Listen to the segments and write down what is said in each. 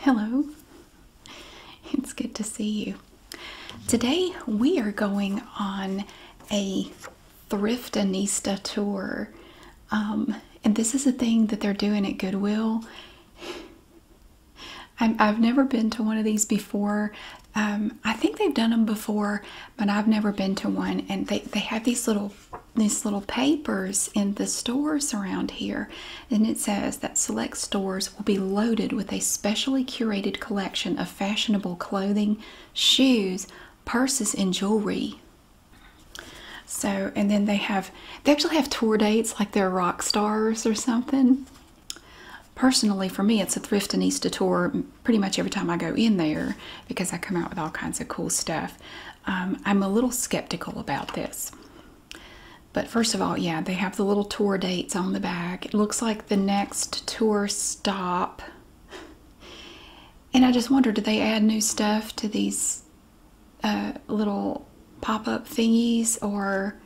Hello, it's good to see you. Today we are going on a Thrift Anista tour, um, and this is a thing that they're doing at Goodwill. i have never been to one of these before. Um, I think they've done them before, but I've never been to one. And they, they have these little these little papers in the stores around here, and it says that select stores will be loaded with a specially curated collection of fashionable clothing, shoes, purses, and jewelry. So, and then they have, they actually have tour dates like they're rock stars or something. Personally, for me, it's a Thrift and Easter tour pretty much every time I go in there because I come out with all kinds of cool stuff. Um, I'm a little skeptical about this. But first of all, yeah, they have the little tour dates on the back. It looks like the next tour stop. And I just wonder, do they add new stuff to these uh, little pop-up thingies, or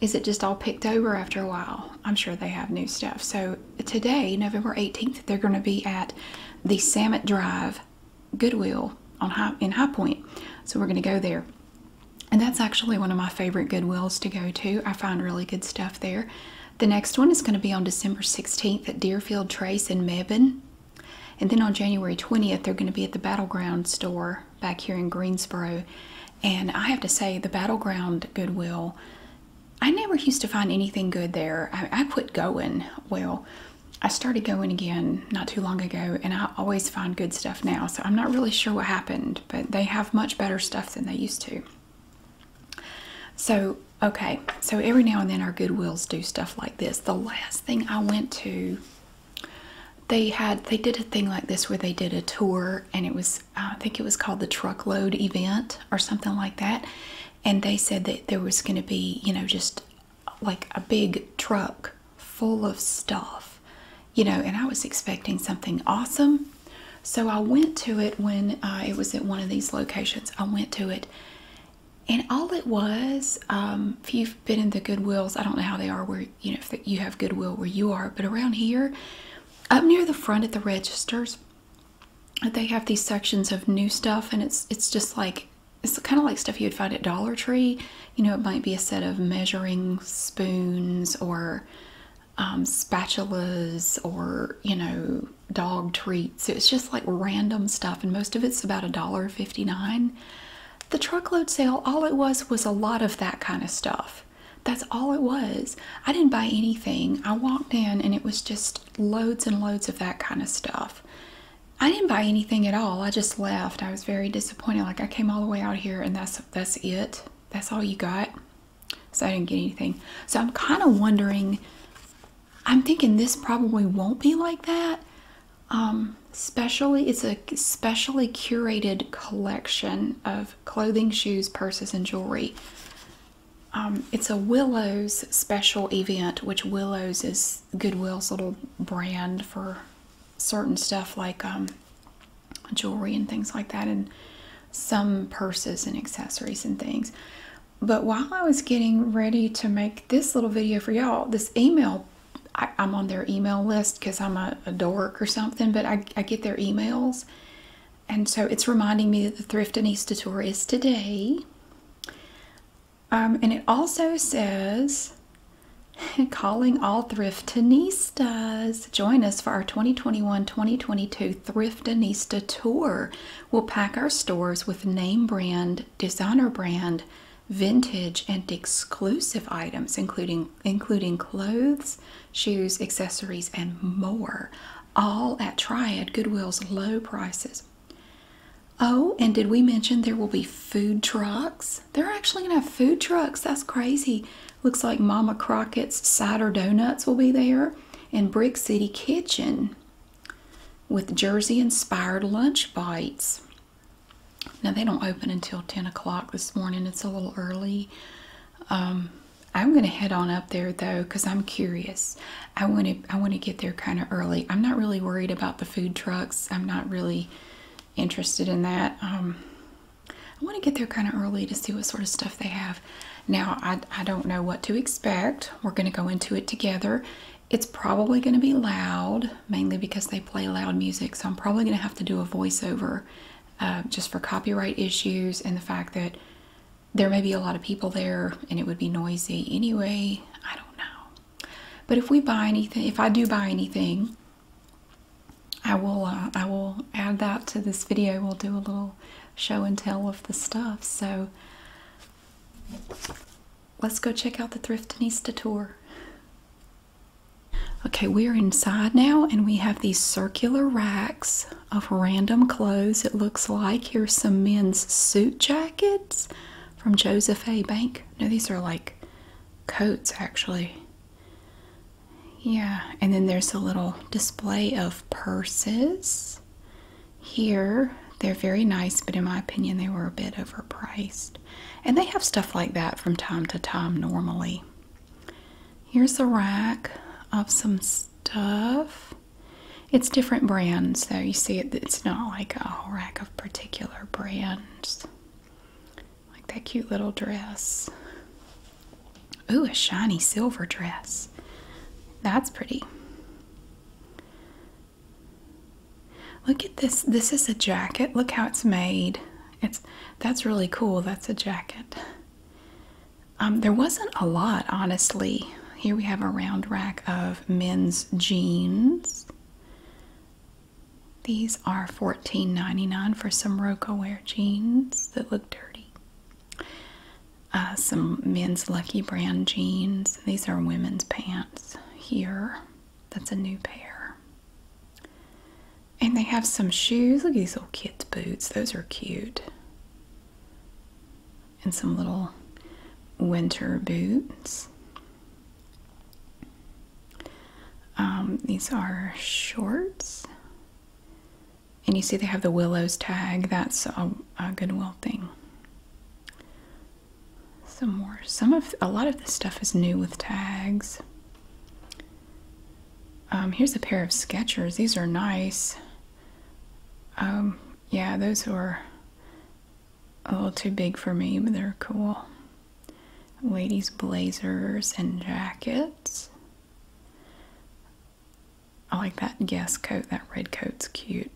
is it just all picked over after a while? I'm sure they have new stuff. So today, November 18th, they're going to be at the Samet Drive Goodwill on in High Point. So we're going to go there. And that's actually one of my favorite Goodwills to go to. I find really good stuff there. The next one is going to be on December 16th at Deerfield Trace in Mebane. And then on January 20th, they're going to be at the Battleground store back here in Greensboro. And I have to say, the Battleground Goodwill, I never used to find anything good there. I quit going. Well, I started going again not too long ago, and I always find good stuff now. So I'm not really sure what happened, but they have much better stuff than they used to. So, okay, so every now and then our Goodwills do stuff like this. The last thing I went to, they had, they did a thing like this where they did a tour, and it was, I think it was called the truckload event or something like that. And they said that there was going to be, you know, just like a big truck full of stuff, you know, and I was expecting something awesome. So I went to it when uh, it was at one of these locations. I went to it, and all it was, um, if you've been in the Goodwills, I don't know how they are where you know if you have Goodwill where you are, but around here, up near the front at the registers, they have these sections of new stuff, and it's it's just like it's kind of like stuff you would find at Dollar Tree. You know, it might be a set of measuring spoons or um, spatulas or, you know, dog treats. It's just like random stuff, and most of it's about a dollar fifty-nine. The truckload sale, all it was was a lot of that kind of stuff. That's all it was. I didn't buy anything. I walked in and it was just loads and loads of that kind of stuff. I didn't buy anything at all. I just left. I was very disappointed. Like I came all the way out here and that's that's it. That's all you got. So I didn't get anything. So I'm kind of wondering. I'm thinking this probably won't be like that. Um, especially it's a specially curated collection of clothing, shoes, purses, and jewelry. Um, it's a Willows special event, which Willows is Goodwill's little brand for certain stuff like um, jewelry and things like that, and some purses and accessories and things. But while I was getting ready to make this little video for y'all, this email, I, am on their email list because I'm a, dork or something, but I, get their emails. And so it's reminding me that the Thrift and Easter tour is today. Um, and it also says calling all thriftinistas. Join us for our 2021-2022 Thriftinista Tour. We'll pack our stores with name brand, designer brand, vintage and exclusive items including including clothes, shoes, accessories and more, all at Triad Goodwill's low prices. Oh, and did we mention there will be food trucks? They're actually going to have food trucks. That's crazy. Looks like Mama Crockett's Cider Donuts will be there and Brick City Kitchen with Jersey inspired lunch bites. Now, they don't open until 10 o'clock this morning. It's a little early. Um, I'm going to head on up there though because I'm curious. I want to I want to get there kind of early. I'm not really worried about the food trucks. I'm not really interested in that. Um, I want to get there kind of early to see what sort of stuff they have. Now, I, I don't know what to expect. We're going to go into it together. It's probably going to be loud, mainly because they play loud music, so I'm probably going to have to do a voiceover uh, just for copyright issues and the fact that there may be a lot of people there and it would be noisy anyway. I don't know. But if we buy anything, if I do buy anything, I will uh, I will add that to this video. We'll do a little show and tell of the stuff. So let's go check out the thrift Thriftinista tour. Okay, we're inside now and we have these circular racks of random clothes. It looks like here's some men's suit jackets from Joseph A. Bank. No, these are like coats actually. Yeah, and then there's a little display of purses here. They're very nice, but in my opinion, they were a bit overpriced. And they have stuff like that from time to time normally. Here's a rack of some stuff. It's different brands, so you see, it, it's not like a rack of particular brands. Like that cute little dress. Ooh, a shiny silver dress. That's pretty. Look at this. This is a jacket. Look how it's made. It's that's really cool. That's a jacket. Um, there wasn't a lot, honestly. Here we have a round rack of men's jeans. These are $14.99 for some Wear jeans that look dirty. Uh, some men's Lucky Brand jeans. These are women's pants here. That's a new pair. And they have some shoes. Look at these little kids' boots. Those are cute. And some little winter boots. Um, these are shorts. And you see they have the Willows tag. That's a, a Goodwill thing. Some more. Some of a lot of this stuff is new with tags. Um, here's a pair of Skechers. These are nice. Um, yeah, those were a little too big for me, but they're cool ladies' blazers and jackets. I like that guest coat, that red coat's cute.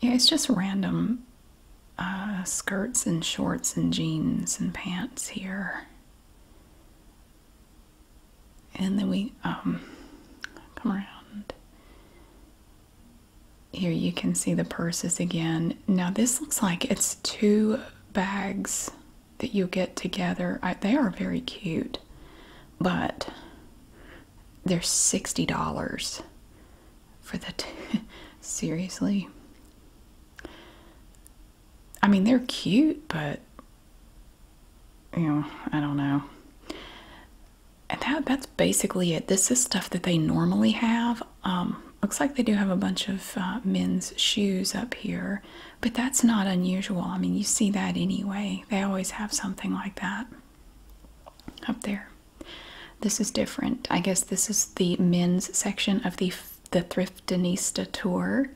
Yeah, it's just random uh, skirts and shorts and jeans and pants here. And then we um, come around here you can see the purses again. Now this looks like it's two bags that you get together. they are very cute, but they're $60 for the two. Seriously? I mean, they're cute, but you know, I don't know and that that's basically it. This is stuff that they normally have. Um, looks like they do have a bunch of uh, men's shoes up here, but that's not unusual. I mean, you see that anyway. They always have something like that up there. This is different. I guess this is the men's section of the the Thriftinista tour.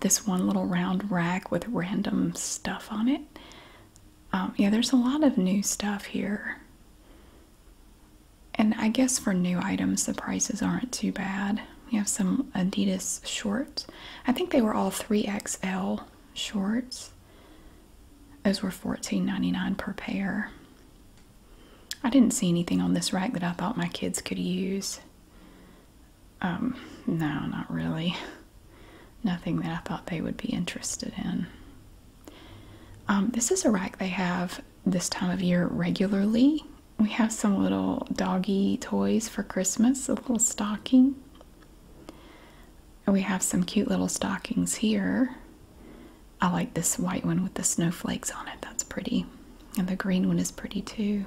This one little round rack with random stuff on it. Um, yeah, there's a lot of new stuff here. And I guess for new items, the prices aren't too bad. We have some Adidas shorts. I think they were all 3XL shorts. Those were $14.99 per pair. I didn't see anything on this rack that I thought my kids could use. Um, no, not really nothing that I thought they would be interested in. Um, this is a rack they have this time of year regularly. We have some little doggy toys for Christmas, a little stocking. And we have some cute little stockings here. I like this white one with the snowflakes on it. That's pretty. And the green one is pretty too.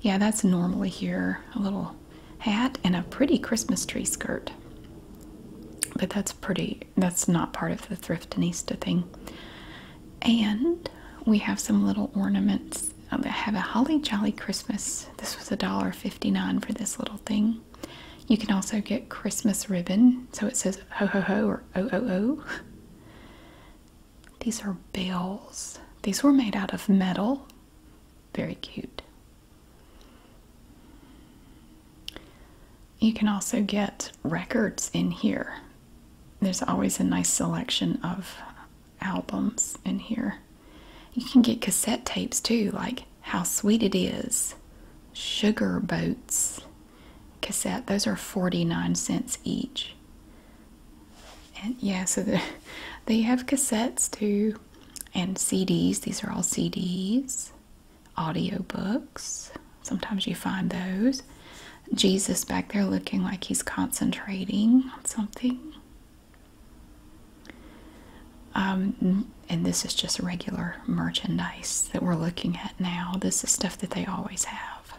Yeah, that's normally here. A little hat and a pretty Christmas tree skirt. But that's pretty, that's not part of the Thriftinista thing. And we have some little ornaments I have a Holly Jolly Christmas. This was a dollar fifty nine for this little thing. You can also get Christmas ribbon. So it says ho ho ho or oh oh oh. These are bells. These were made out of metal. Very cute. You can also get records in here. There's always a nice selection of albums in here. You can get cassette tapes too, like How Sweet It Is, Sugar Boats cassette. Those are 49 cents each. And yeah, so they have cassettes too and CDs. These are all CDs. Audio books. Sometimes you find those. Jesus back there looking like he's concentrating on something. Um, and this is just regular merchandise that we're looking at now. This is stuff that they always have.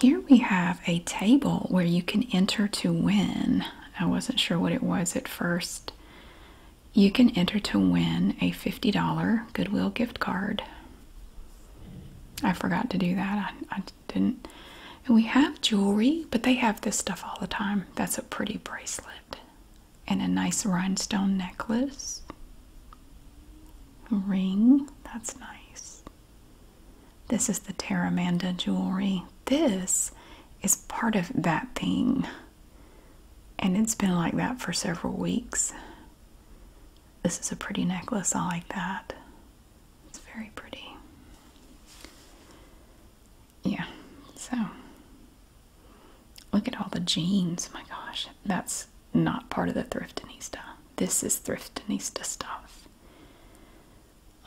Here we have a table where you can enter to win. I wasn't sure what it was at first. You can enter to win a $50 Goodwill gift card. I forgot to do that. I, didn't. we have jewelry, but they have this stuff all the time. That's a pretty bracelet and a nice rhinestone necklace. Ring. That's nice. This is the Terramanda jewelry. This is part of that thing. And it's been like that for several weeks. This is a pretty necklace. I like that. It's very pretty. Yeah, so look at all the jeans. My gosh, that's not part of the thrift Thriftinista. This is thrift Thriftinista stuff.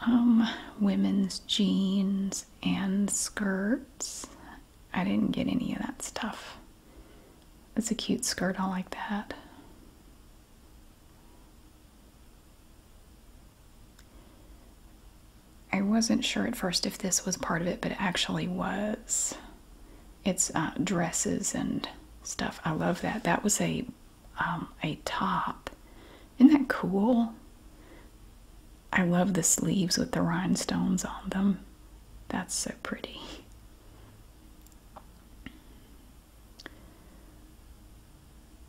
Um, women's jeans and skirts. I didn't get any of that stuff. It's a cute skirt, I like that. I wasn't sure at first if this was part of it, but it actually was. It's uh, dresses and stuff. I love that. That was a um, a top. Isn't that cool? I love the sleeves with the rhinestones on them. That's so pretty.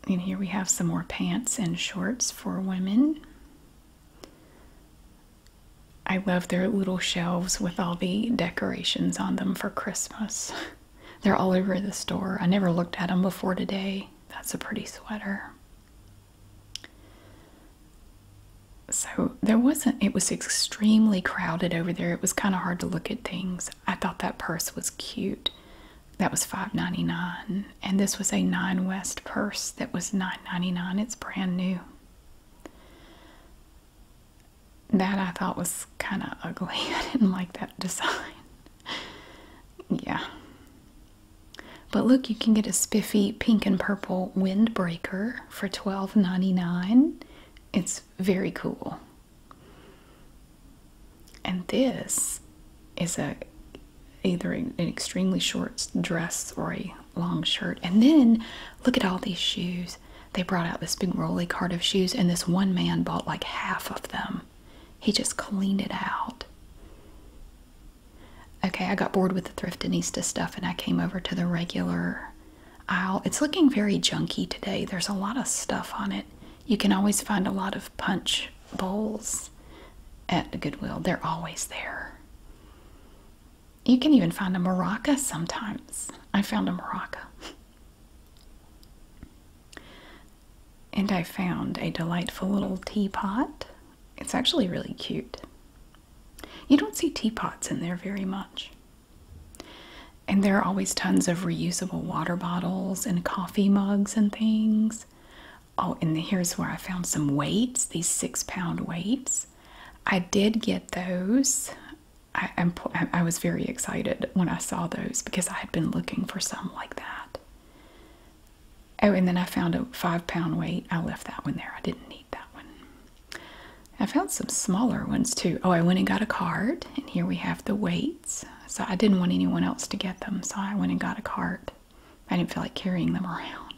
And here we have some more pants and shorts for women. I love their little shelves with all the decorations on them for Christmas. They're all over the store. I never looked at them before today. That's a pretty sweater. So there wasn't, it was extremely crowded over there. It was kind of hard to look at things. I thought that purse was cute. That was five ninety nine, And this was a Nine West purse that was nine ninety nine. It's brand new. That I thought was kind of ugly. I didn't like that design. yeah. But look, you can get a spiffy pink and purple windbreaker for $12.99. It's very cool. And this is a either an extremely short dress or a long shirt. And then look at all these shoes. They brought out this big rolly cart of shoes, and this one man bought like half of them. He just cleaned it out. Okay, I got bored with the Thriftinista stuff and I came over to the regular aisle. It's looking very junky today. There's a lot of stuff on it. You can always find a lot of punch bowls at Goodwill. They're always there. You can even find a maraca sometimes. I found a maraca. And I found a delightful little teapot it's actually really cute. You don't see teapots in there very much. And there are always tons of reusable water bottles and coffee mugs and things. Oh, and here's where I found some weights, these six pound weights. I did get those. I, was very excited when I saw those because I had been looking for some like that. Oh, and then I found a five pound weight. I left that one there. I didn't need that one. I found some smaller ones too. Oh, I went and got a cart, and here we have the weights. So I didn't want anyone else to get them, so I went and got a cart. I didn't feel like carrying them around.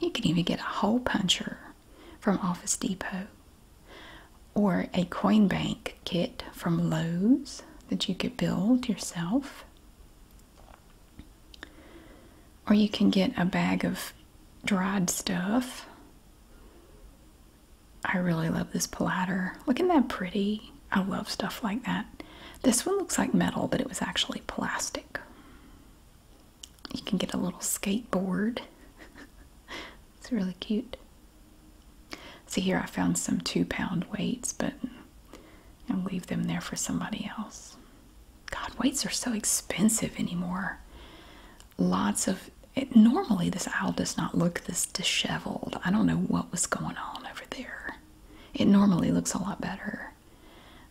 You can even get a hole puncher from Office Depot or a coin bank kit from Lowe's that you could build yourself. Or you can get a bag of dried stuff. I really love this platter. Look that pretty. I love stuff like that. This one looks like metal, but it was actually plastic. You can get a little skateboard. it's really cute. See here I found some two pound weights, but and leave them there for somebody else. God, weights are so expensive anymore. Lots of it, normally this owl does not look this disheveled. I don't know what was going on over there. It normally looks a lot better.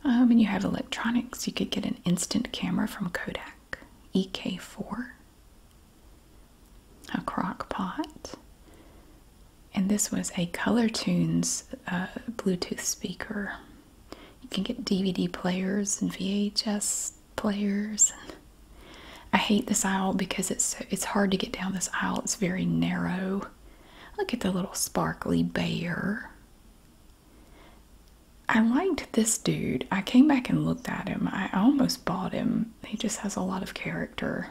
I um, mean, you have electronics. You could get an instant camera from Kodak, EK4, a crock pot, and this was a Color Tunes uh, Bluetooth speaker. You can get DVD players and VHS players. I hate this aisle because it's it's hard to get down this aisle. It's very narrow. Look at the little sparkly bear. I liked this dude. I came back and looked at him. I almost bought him. He just has a lot of character.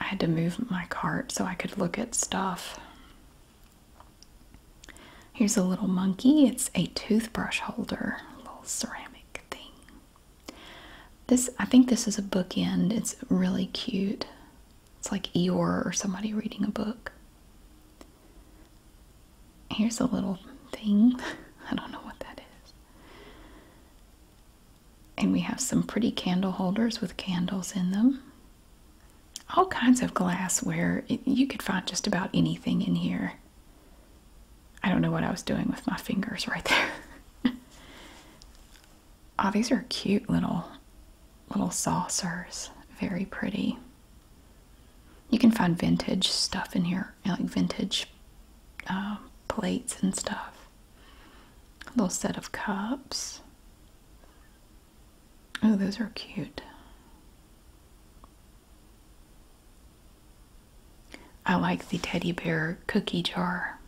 I had to move my cart so I could look at stuff. Here's a little monkey. It's a toothbrush holder, little ceramic thing. This I think this is a bookend. It's really cute. It's like Eeyore or somebody reading a book. Here's a little thing. I don't know what that is. And we have some pretty candle holders with candles in them. All kinds of glassware. you could find just about anything in here. I don't know what I was doing with my fingers right there. oh, these are cute little little saucers. Very pretty. You can find vintage stuff in here, like vintage uh, plates and stuff. A little set of cups. Oh, those are cute. I like the teddy bear cookie jar.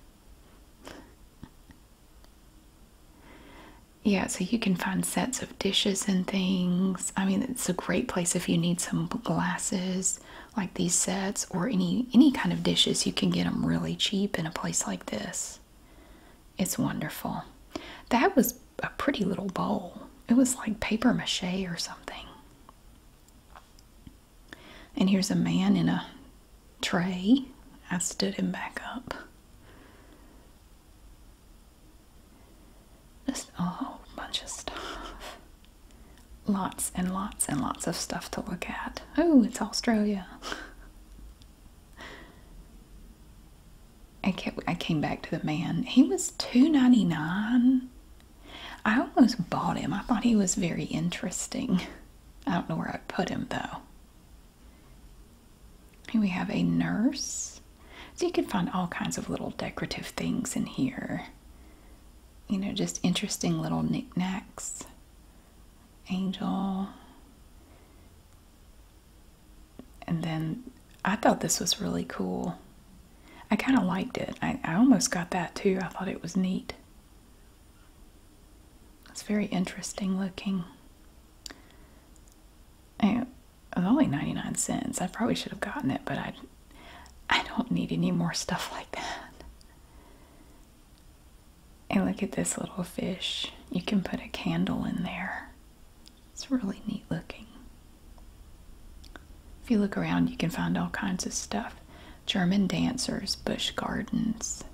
Yeah, so you can find sets of dishes and things. I mean, it's a great place if you need some glasses like these sets or any any kind of dishes. You can get them really cheap in a place like this. It's wonderful. That was a pretty little bowl. It was like paper mache or something. And here's a man in a tray. I stood him back up. Just a whole bunch of stuff. Lots and lots and lots of stuff to look at. Oh, it's Australia. I came back to the man. He was two ninety nine. I almost bought him. I thought he was very interesting. I don't know where I put him though. Here we have a nurse. So you can find all kinds of little decorative things in here. You know, just interesting little knickknacks angel. And then I thought this was really cool. I kind of liked it. I, I almost got that too. I thought it was neat. It's very interesting looking. And it was only 99 cents. I probably should have gotten it, but I, I don't need any more stuff like that. And look at this little fish. You can put a candle in there. It's really neat looking. If you look around, you can find all kinds of stuff. German dancers, bush gardens.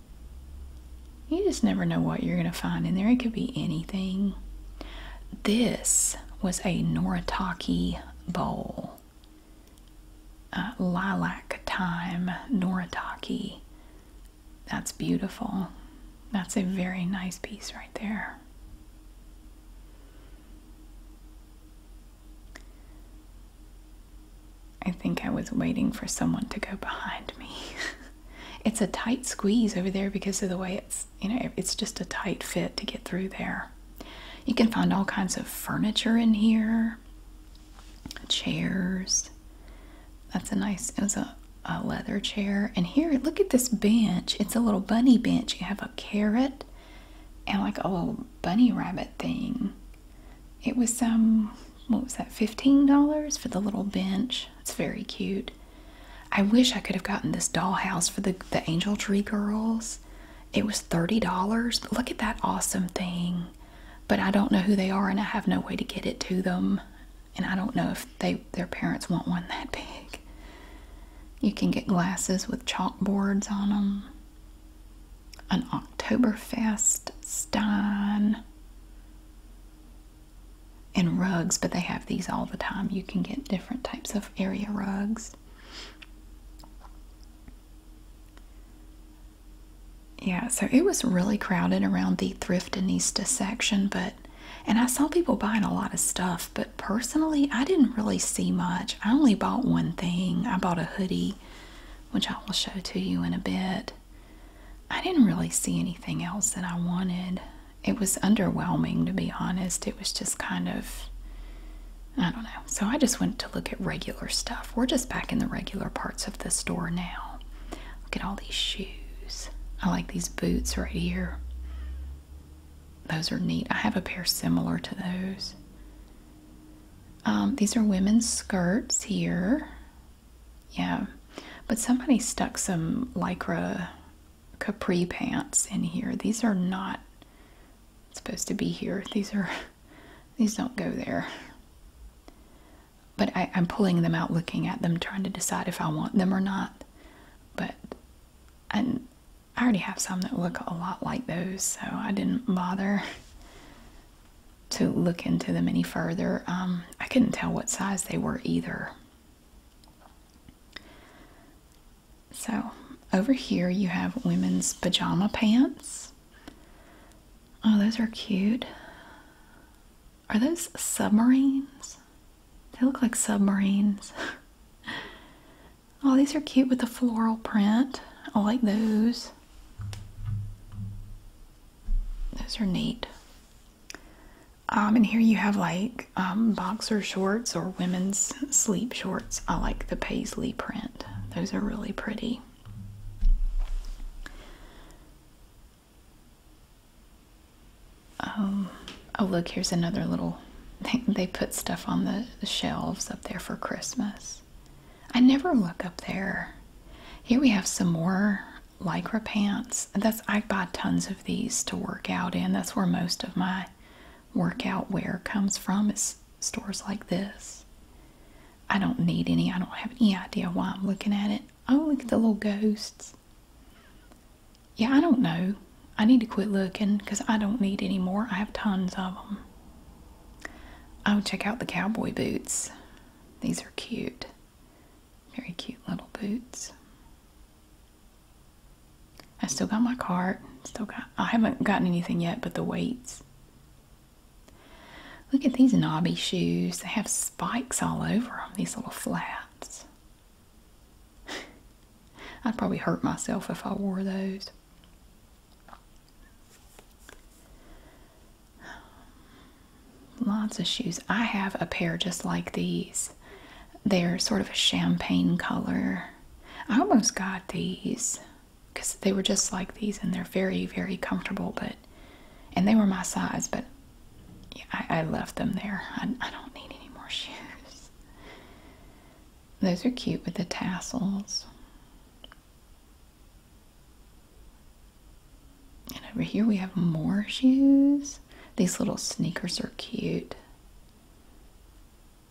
You just never know what you're going to find in there. It could be anything. This was a Noritake bowl. Uh, lilac time, Noritake that's beautiful. That's a very nice piece right there. I think I was waiting for someone to go behind me. it's a tight squeeze over there because of the way it's, you know, it's just a tight fit to get through there. You can find all kinds of furniture in here chairs. That's a nice, it was a, a leather chair. And here, look at this bench. It's a little bunny bench. You have a carrot and like a little bunny rabbit thing. It was some, what was that, $15 for the little bench. It's very cute. I wish I could have gotten this dollhouse for the, the Angel Tree Girls. It was $30. But look at that awesome thing but I don't know who they are and I have no way to get it to them. And I don't know if they their parents want one that big. You can get glasses with chalkboards on them. An Oktoberfest Stein. And rugs, but they have these all the time. You can get different types of area rugs yeah, so it was really crowded around the thrift and thriftinista section, but and I saw people buying a lot of stuff, but personally, I didn't really see much. I only bought one thing. I bought a hoodie, which I will show to you in a bit. I didn't really see anything else that I wanted. It was underwhelming, to be honest. It was just kind of, I don't know. So I just went to look at regular stuff. We're just back in the regular parts of the store now. Look at all these shoes. I like these boots right here. Those are neat. I have a pair similar to those. Um, these are women's skirts here. Yeah. But somebody stuck some Lycra capri pants in here. These are not supposed to be here. These are, these don't go there but I, am pulling them out, looking at them, trying to decide if I want them or not. But I already have some that look a lot like those, so I didn't bother to look into them any further. Um, I couldn't tell what size they were either. So over here you have women's pajama pants. Oh, those are cute. Are those submarines? They look like submarines. oh, these are cute with the floral print. I like those. Those are neat. Um, and here you have like um, boxer shorts or women's sleep shorts. I like the paisley print. Those are really pretty. Um, oh, look, here's another little thing. They put stuff on the, shelves up there for Christmas. I never look up there. Here we have some more lycra pants. That's I bought tons of these to work out in. That's where most of my workout wear comes from. It's stores like this. I don't need any. I don't have any idea why I'm looking at it i Oh, look at the little ghosts. Yeah, I don't know. I need to quit looking because I don't need any more. I have tons of them. Oh, check out the cowboy boots. These are cute. Very cute little boots. I still got my cart. Still got. I haven't gotten anything yet, but the weights. Look at these knobby shoes. They have spikes all over them, these little flats. I'd probably hurt myself if I wore those. Lots of shoes. I have a pair just like these. They're sort of a champagne color. I almost got these because they were just like these and they're very, very comfortable, but and they were my size, but I, left them there. I don't need any more shoes. Those are cute with the tassels. And over here we have more shoes. These little sneakers are cute.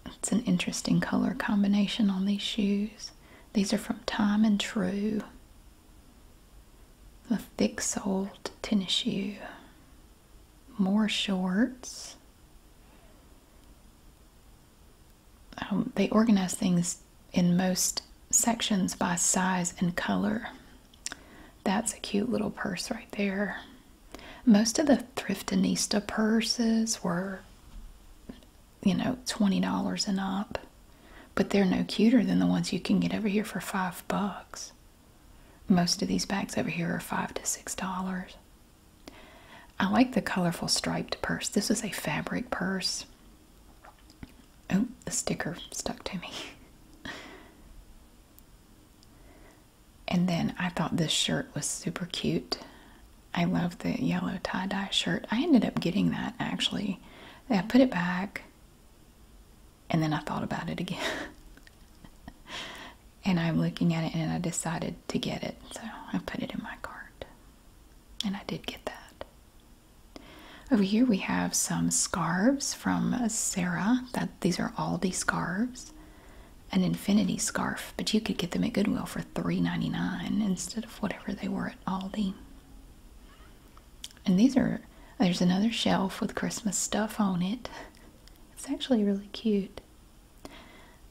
It's an interesting color combination on these shoes. These are from Time and True a thick soled tennis shoe, more shorts. Um, they organize things in most sections by size and color. That's a cute little purse right there. Most of the Thriftinista purses were, you know, $20 and up. But they're no cuter than the ones you can get over here for five bucks. Most of these bags over here are five to six dollars. I like the colorful striped purse. This is a fabric purse. Oh, the sticker stuck to me. and then I thought this shirt was super cute. I love the yellow tie dye shirt. I ended up getting that actually. I put it back and then I thought about it again. and I'm looking at it and I decided to get it. So I put it in my cart. And I did get that. Over here we have some scarves from Sarah. That these are Aldi scarves. An infinity scarf, but you could get them at Goodwill for $3.99 instead of whatever they were at Aldi. And these are, there's another shelf with Christmas stuff on it. It's actually really cute.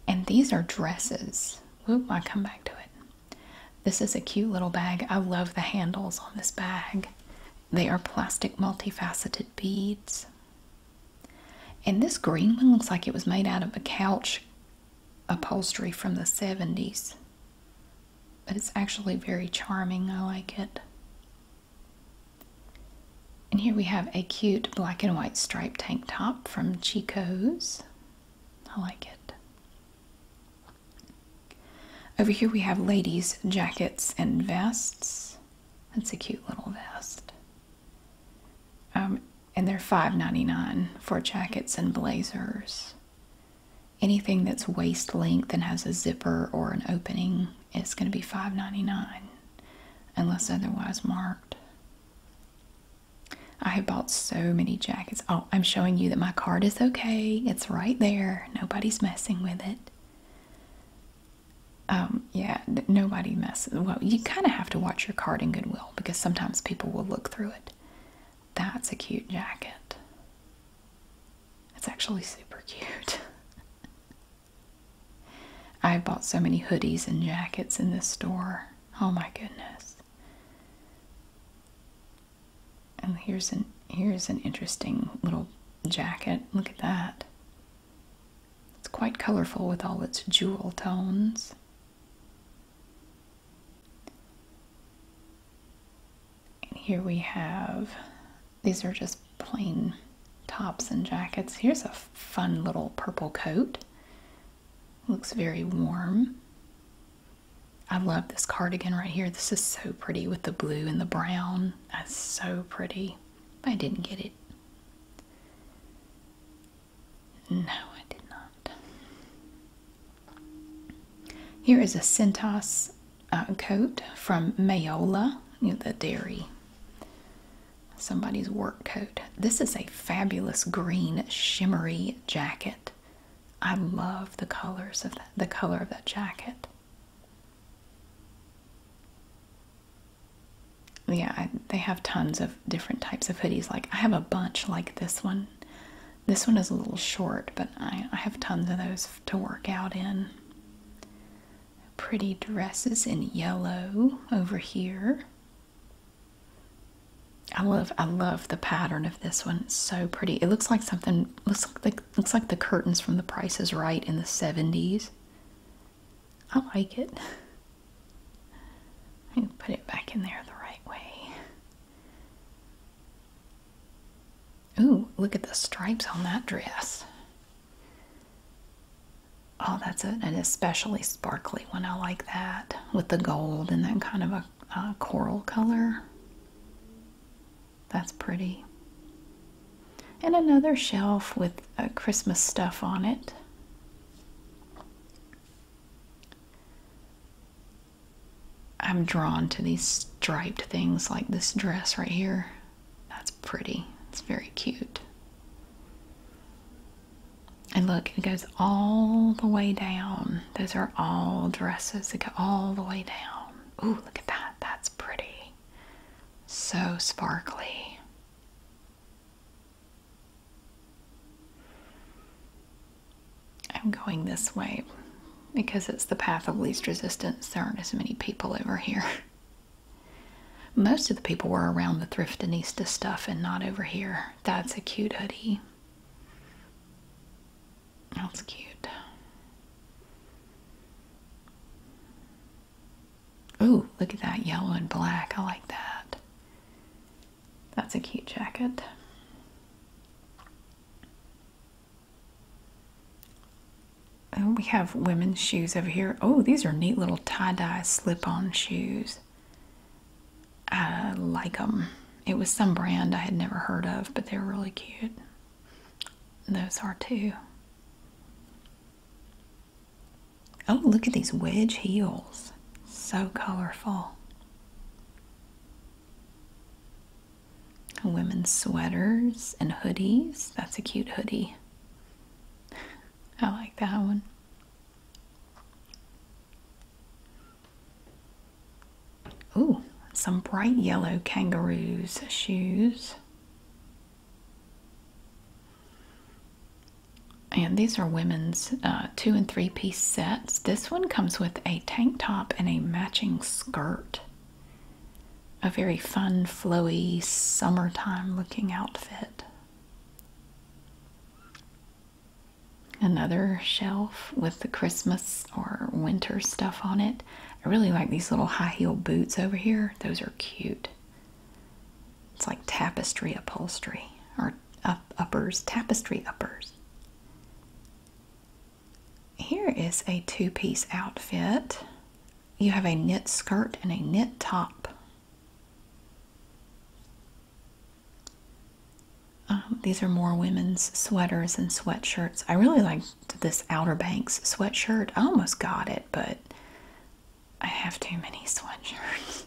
And these are dresses. Whoop, I come back to it. This is a cute little bag. I love the handles on this bag. They are plastic multifaceted beads. And this green one looks like it was made out of a couch upholstery from the 70s but it's actually very charming. I like it. And here we have a cute black and white striped tank top from Chico's. I like it. Over here we have ladies' jackets and vests. That's a cute little vest. Um, and they're $5.99 for jackets and blazers anything that's waist length and has a zipper or an opening is going to be $5.99 unless otherwise marked. I have bought so many jackets. Oh, I'm showing you that my card is okay. It's right there. Nobody's messing with it. Um, yeah, nobody messes. Well, you kind of have to watch your card in Goodwill because sometimes people will look through it. That's a cute jacket. It's actually super cute. I have bought so many hoodies and jackets in this store. Oh my goodness. And here's an here's an interesting little jacket. Look at that. It's quite colorful with all its jewel tones. And here we have, these are just plain tops and jackets. Here's a fun little purple coat. Looks very warm. I love this cardigan right here. This is so pretty with the blue and the brown. That's so pretty. I didn't get it. No, I did not. Here is a Centos uh, coat from Mayola, the dairy. Somebody's work coat. This is a fabulous green shimmery jacket. I love the colors of the color of that jacket. Yeah, they have tons of different types of hoodies. Like I have a bunch like this one this one is a little short, but I, I have tons of those to work out in. Pretty dresses in yellow over here. I love I love the pattern of this one. so pretty. It looks like something looks like the, looks like the curtains from The Price is Right in the 70s. I like it. put it back in there the right way. Ooh, look at the stripes on that dress. Oh, that's an especially sparkly one. I like that with the gold and that kind of a, coral color. That's pretty. And another shelf with uh, Christmas stuff on it. I'm drawn to these striped things like this dress right here. That's pretty. It's very cute. And look, it goes all the way down. Those are all dresses that go all the way down. Ooh, look at that. That's pretty. So sparkly. I'm going this way because it's the path of least resistance. There aren't as many people over here. Most of the people were around the thrift and Thriftinista stuff and not over here. That's a cute hoodie. That's cute. Ooh, look at that yellow and black. I like that. That's a cute jacket. Oh, we have women's shoes over here. Oh, these are neat little tie-dye slip-on shoes. I like them. It was some brand I had never heard of, but they're really cute. Those are too. Oh, look at these wedge heels. So colorful. Women's sweaters and hoodies. That's a cute hoodie. I like that one. Ooh, some bright yellow kangaroos shoes. And these are women's uh, two and three piece sets. This one comes with a tank top and a matching skirt a very fun, flowy, summertime looking outfit. Another shelf with the Christmas or winter stuff on it. I really like these little high heel boots over here. Those are cute. It's like tapestry upholstery or uppers, tapestry uppers. Here is a two-piece outfit. You have a knit skirt and a knit top. Um, these are more women's sweaters and sweatshirts. I really liked this Outer Banks sweatshirt. I almost got it, but I have too many sweatshirts.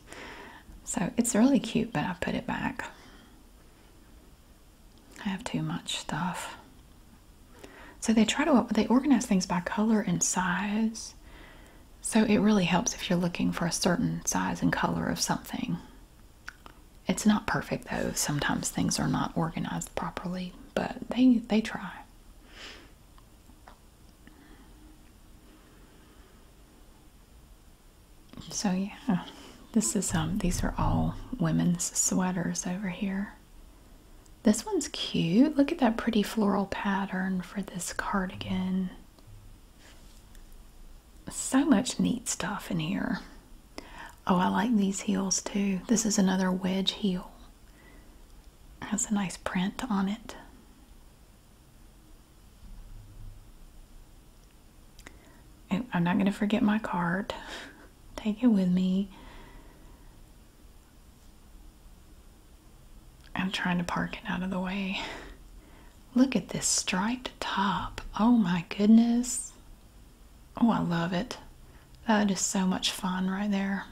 so it's really cute, but I put it back. I have too much stuff. So they try to they organize things by color and size. So it really helps if you're looking for a certain size and color of something. It's not perfect though. Sometimes things are not organized properly, but they they try. So yeah. This is um these are all women's sweaters over here. This one's cute. Look at that pretty floral pattern for this cardigan. So much neat stuff in here. Oh, I like these heels too. This is another wedge heel. Has a nice print on it. I'm not going to forget my card. take it with me. I'm trying to park it out of the way. Look at this striped top. Oh my goodness. Oh, I love it. That is so much fun right there.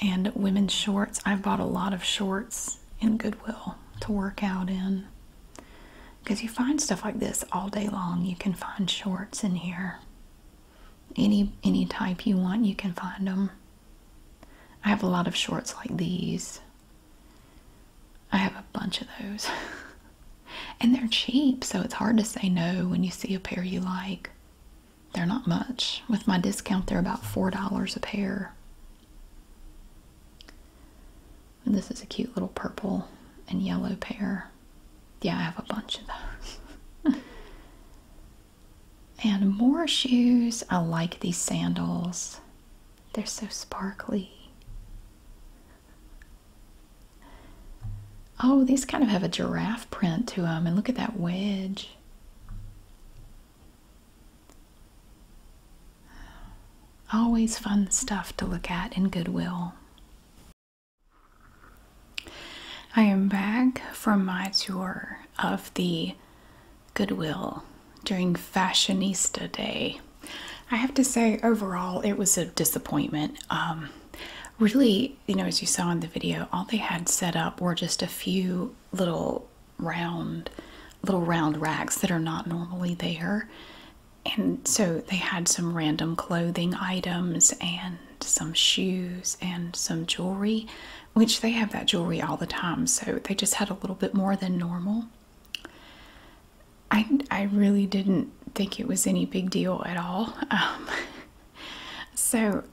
And women's shorts. I've bought a lot of shorts in Goodwill to work out in because you find stuff like this all day long. You can find shorts in here. Any any type you want, you can find them. I have a lot of shorts like these. I have a bunch of those. and they're cheap, so it's hard to say no when you see a pair you like. They're not much. With my discount, they're about $4 a pair. And this is a cute little purple and yellow pair. Yeah, I have a bunch of those. and more shoes. I like these sandals. They're so sparkly. Oh, these kind of have a giraffe print to them. And look at that wedge. Always fun stuff to look at in Goodwill. I am back from my tour of the Goodwill during Fashionista Day. I have to say, overall, it was a disappointment. Um, really, you know, as you saw in the video, all they had set up were just a few little round, little round racks that are not normally there and so they had some random clothing items and some shoes and some jewelry, which they have that jewelry all the time, so they just had a little bit more than normal. I, I really didn't think it was any big deal at all. Um, so,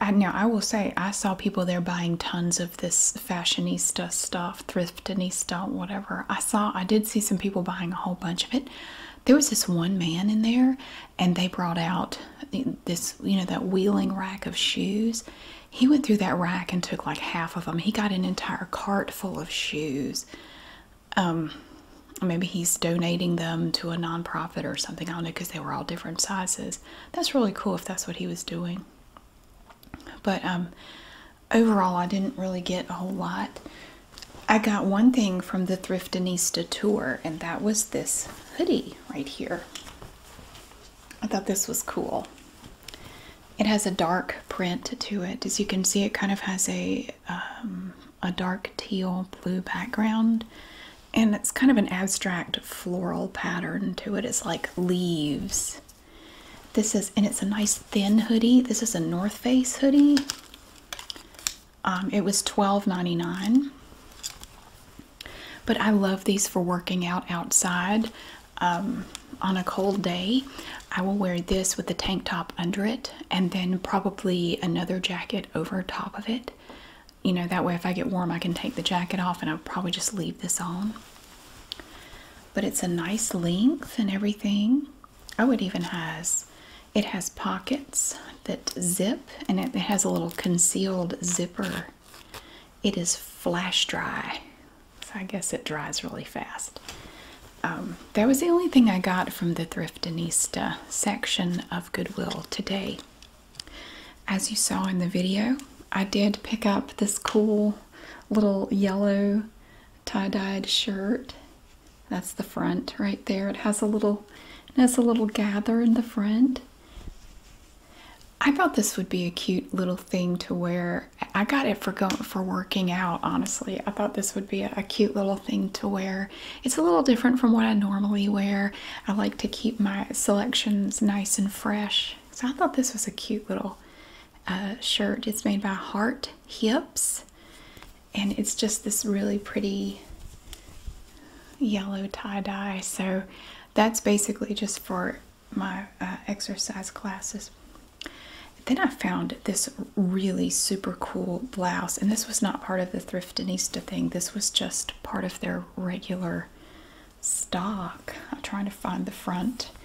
I, now I will say I saw people there buying tons of this fashionista stuff, thriftinista, whatever. I saw, I did see some people buying a whole bunch of it. There was this one man in there, and they brought out this, you know, that wheeling rack of shoes. He went through that rack and took like half of them. He got an entire cart full of shoes. Um, maybe he's donating them to a nonprofit or something. I don't know because they were all different sizes. That's really cool if that's what he was doing. But um, overall, I didn't really get a whole lot. I got one thing from the Thriftinista tour, and that was this hoodie right here. I thought this was cool. It has a dark print to it. As you can see, it kind of has a um, a dark teal blue background, and it's kind of an abstract floral pattern to it. It's like leaves this is, and it's a nice thin hoodie. This is a North Face hoodie. Um, it was $12.99. But I love these for working out outside um, on a cold day. I will wear this with a tank top under it and then probably another jacket over top of it. You know, that way if I get warm, I can take the jacket off and I'll probably just leave this on. But it's a nice length and everything. Oh, it even has it has pockets that zip and it, has a little concealed zipper. It is flash dry. So I guess it dries really fast. Um, that was the only thing I got from the thrift Thriftinista section of Goodwill today. As you saw in the video, I did pick up this cool little yellow tie-dyed shirt. That's the front right there. It has a little it has a little gather in the front. I thought this would be a cute little thing to wear. I got it for going for working out, honestly. I thought this would be a, a cute little thing to wear. It's a little different from what I normally wear. I like to keep my selections nice and fresh. So I thought this was a cute little uh, shirt. It's made by Heart Hips, and it's just this really pretty yellow tie dye. So that's basically just for my uh, exercise classes. Then I found this really super cool blouse, and this was not part of the Thrift Thriftinista thing. This was just part of their regular stock. I'm trying to find the front.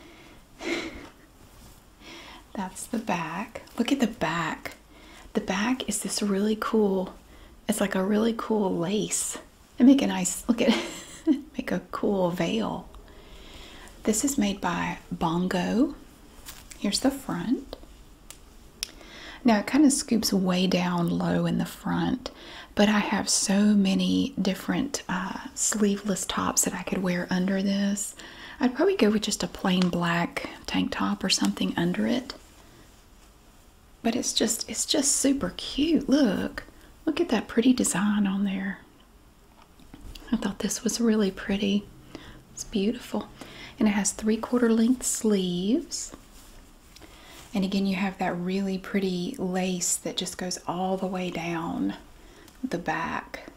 That's the back. Look at the back. The back is this really cool, it's like a really cool lace. They make a nice, look at make a cool veil. This is made by Bongo. Here's the front. Now it kind of scoops way down low in the front, but I have so many different uh, sleeveless tops that I could wear under this. I'd probably go with just a plain black tank top or something under it. But it's just it's just super cute. Look. Look at that pretty design on there. I thought this was really pretty. It's beautiful. And it has three-quarter length sleeves. And again, you have that really pretty lace that just goes all the way down the back.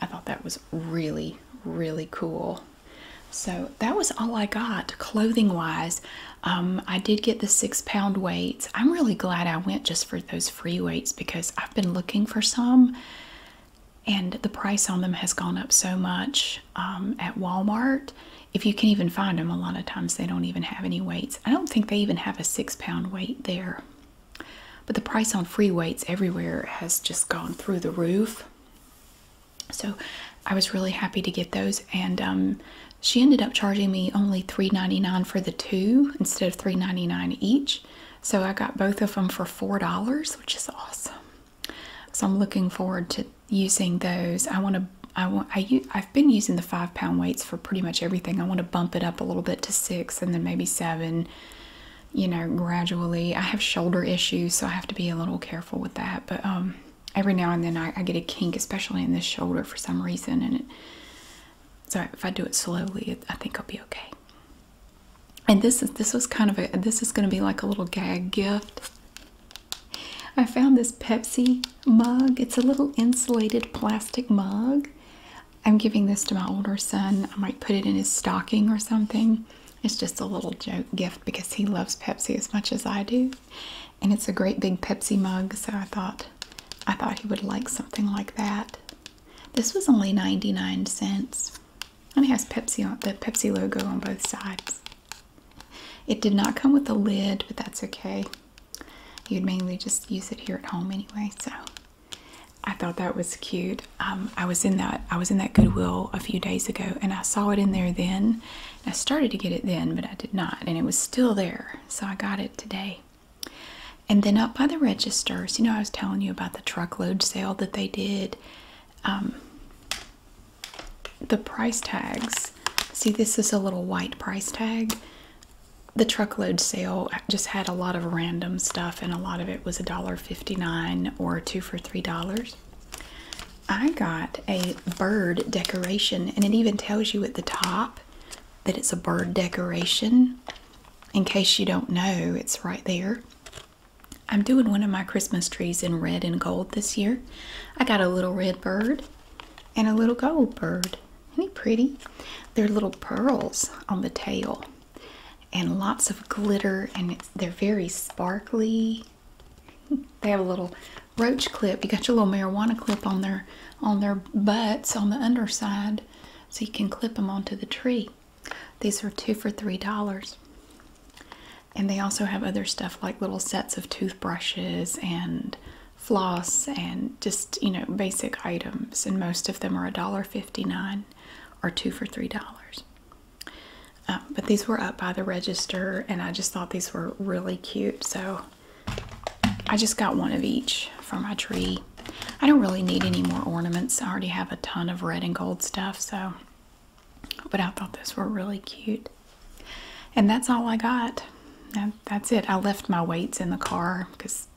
I thought that was really, really cool. So that was all I got clothing wise. Um, I did get the six pound weights. I'm really glad I went just for those free weights because I've been looking for some and the price on them has gone up so much um, at Walmart. If you can even find them, a lot of times they don't even have any weight I don't think they even have a six pound weight there. But the price on free weights everywhere has just gone through the roof. So I was really happy to get those. And um, she ended up charging me only $3.99 for the two instead of $3.99 each. So I got both of them for $4, which is awesome. So I'm looking forward to using those. I want to I want I I've been using the five pound weights for pretty much everything. I want to bump it up a little bit to six and then maybe seven. You know, gradually. I have shoulder issues, so I have to be a little careful with that. But um, every now and then I, get a kink, especially in this shoulder for some reason, and it. So if I do it slowly, I think I'll be okay. And this is this was kind of a this is going to be like a little gag gift. I found this Pepsi mug. It's a little insulated plastic mug. I'm giving this to my older son. I might put it in his stocking or something. It's just a little joke gift because he loves Pepsi as much as I do. And it's a great big Pepsi mug, so I thought I thought he would like something like that. This was only 99 cents. And it has Pepsi on the Pepsi logo on both sides. It did not come with a lid, but that's okay. You'd mainly just use it here at home anyway, so I thought that was cute. Um, I was in that I was in that Goodwill a few days ago, and I saw it in there then. I started to get it then, but I did not, and it was still there, so I got it today. And then up by the registers, you know, I was telling you about the truckload sale that they did. Um, the price tags. See, this is a little white price tag the truckload sale just had a lot of random stuff and a lot of it was a dollar fifty-nine or two for three dollars i got a bird decoration and it even tells you at the top that it's a bird decoration in case you don't know it's right there i'm doing one of my christmas trees in red and gold this year i got a little red bird and a little gold bird. Isn't he pretty? There are little pearls on the tail and lots of glitter, and they're very sparkly. They have a little roach clip. You got your little marijuana clip on their on their butts on the underside, so you can clip them onto the tree. These are two for three dollars. And they also have other stuff like little sets of toothbrushes and floss and just you know basic items and most of them are a dollar fifty-nine or two for three dollars um, but these were up by the register and i just thought these were really cute so i just got one of each for my tree i don't really need any more ornaments i already have a ton of red and gold stuff so but i thought those were really cute and that's all i got that's it. I left my weights in the car because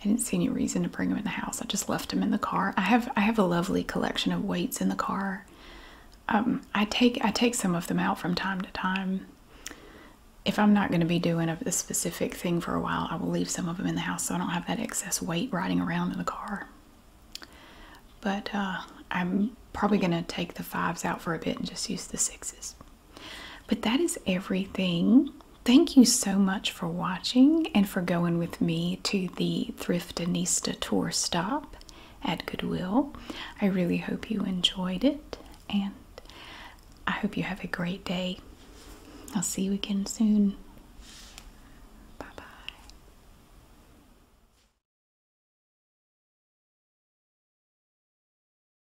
I didn't see any reason to bring them in the house. I just left them in the car. I have I have a lovely collection of weights in the car. Um, I take I take some of them out from time to time. If I'm not going to be doing a, specific thing for a while, I will leave some of them in the house so I don't have that excess weight riding around in the car. But uh, I'm probably going to take the fives out for a bit and just use the sixes. But that is everything. Thank you so much for watching and for going with me to the Thriftinista tour stop at Goodwill. I really hope you enjoyed it and I hope you have a great day. I'll see you again soon. Bye bye.